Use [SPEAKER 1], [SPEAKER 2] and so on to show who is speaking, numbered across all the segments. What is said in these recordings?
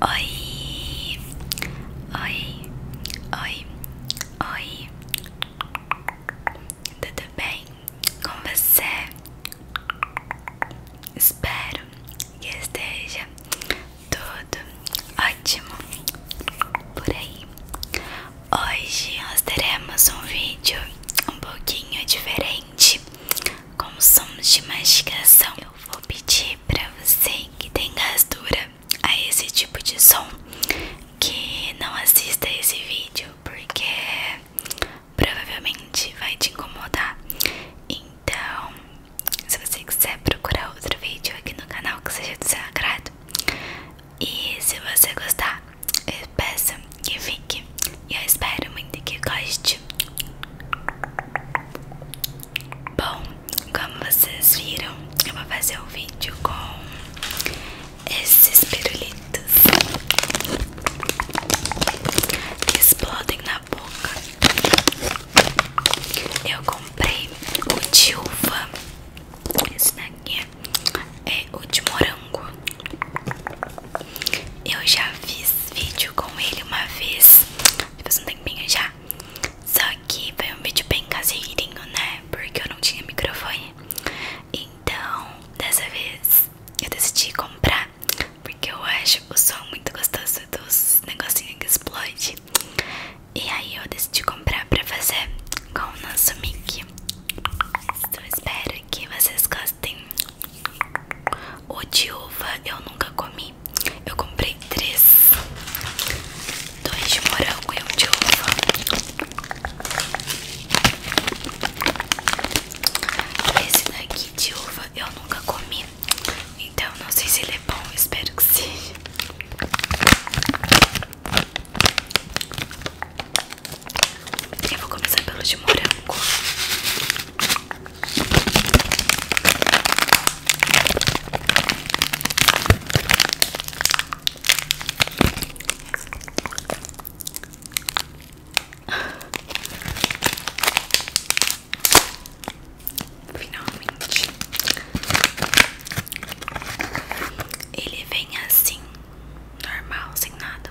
[SPEAKER 1] Oi, oi, oi, oi. Tudo bem com você? Espero que esteja tudo ótimo por aí. Hoje nós teremos um vídeo um pouquinho diferente com som de mastigação. Eu vou pedir para você que tem gastura a esse tipo de som que não assista esse vídeo, porque provavelmente vai te incomodar. Então, se você quiser procurar outro vídeo aqui no canal que seja do seu agrado, e se você gostar, peço que fique e eu espero muito que goste. Bom, como vocês viram, eu vou fazer um vídeo com esses pirulitos que explodem na boca. Eu comprei o de uva, esse daqui é o de morango. Eu já fiz vídeo com ele uma vez, faz um tempinho já. Só que foi um vídeo bem caseirinho, né? Porque eu não tinha microfone. Então, dessa vez eu decidi comprar. Porque eu acho o som muito gostoso dos negocinhos que explode. E aí eu decidi comprar pra fazer com o nosso mic. Então espero que vocês gostem. O de uva eu nunca comi. Eu comprei três: dois de morango e um de uva. Esse daqui de uva eu nunca comi. Então não sei se ele é bom, espero que seja. Eu vou começar pelo de morango. Finalmente, ele vem assim, normal, sem nada.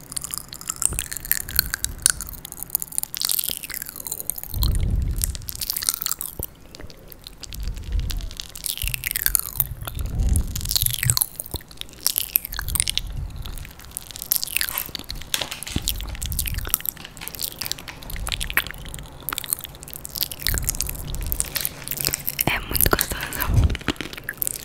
[SPEAKER 1] É muito gostoso.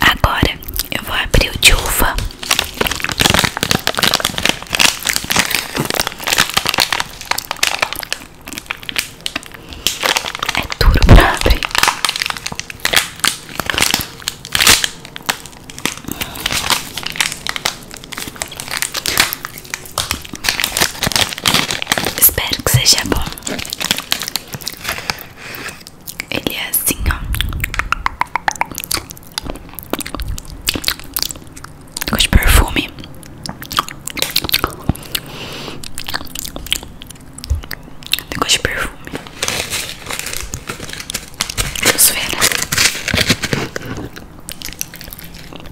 [SPEAKER 1] Agora eu vou abrir o de uva. É duro pra abrir. Espero que seja bom. Ele é assim, ó. Com de perfume. Negócio de perfume.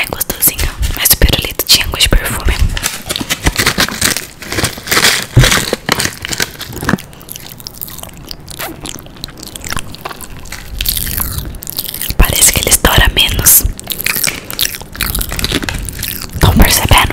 [SPEAKER 1] É gostosinho, mas super lindo tinha gosto de perfume. Parece que ele estoura menos. Estão percebendo?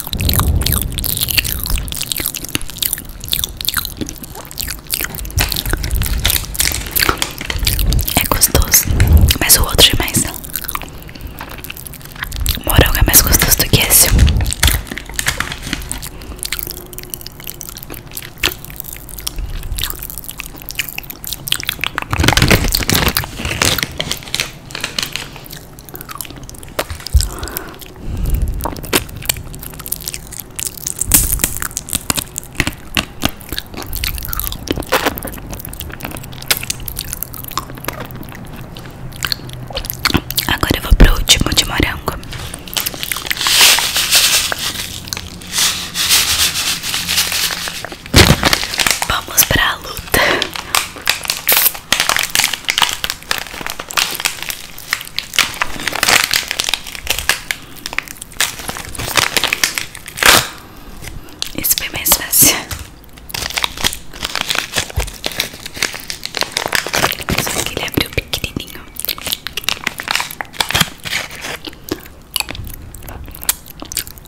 [SPEAKER 1] É gostoso, mas o outro é mais Morango é mais gostoso do que esse Agora eu vou pro último de morango. Vamos pra luta. Isso foi mais fácil. ele abriu pequenininho.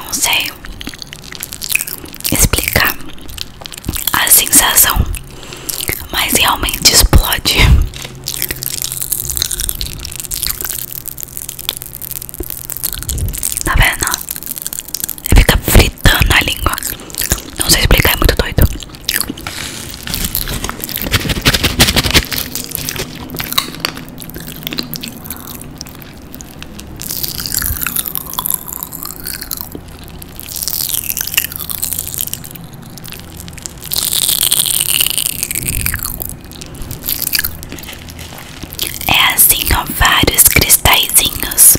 [SPEAKER 1] Eu não sei explicar a sensação, mas realmente explode. Tá vendo? Fica fritando a língua. Não sei explicar, é muito doido. É assim, ó, vários cristalzinhos.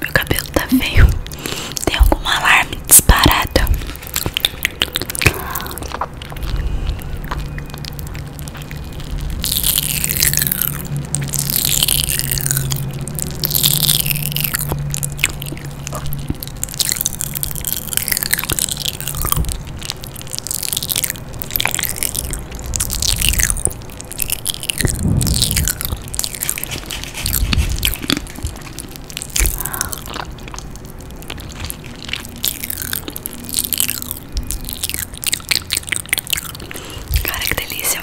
[SPEAKER 1] Meu cabelo tá feio. Tem algum alarme disparado? Cara, que delícia!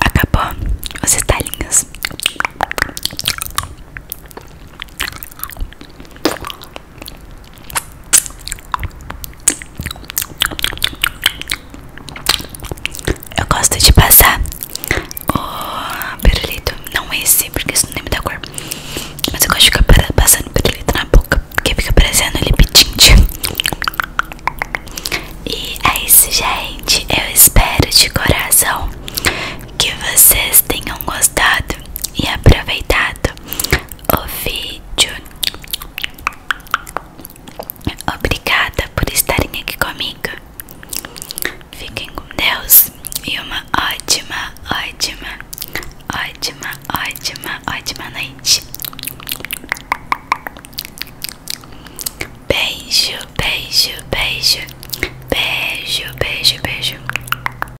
[SPEAKER 1] Acabou os estalinhos. Eu gosto de passar o perolito, não esse, porque isso não lembra da cor. Mas eu gosto de ficar passando perolito na boca, porque fica parecendo lip E é isso, gente. Eu espero de coração que vocês tenham gostado e aproveitado o vídeo. Obrigada por estarem aqui comigo. Fiquem com Deus e uma ótima, ótima, ótima, ótima, ótima noite. Beijo, beijo, beijo, beijo, beijo, beijo.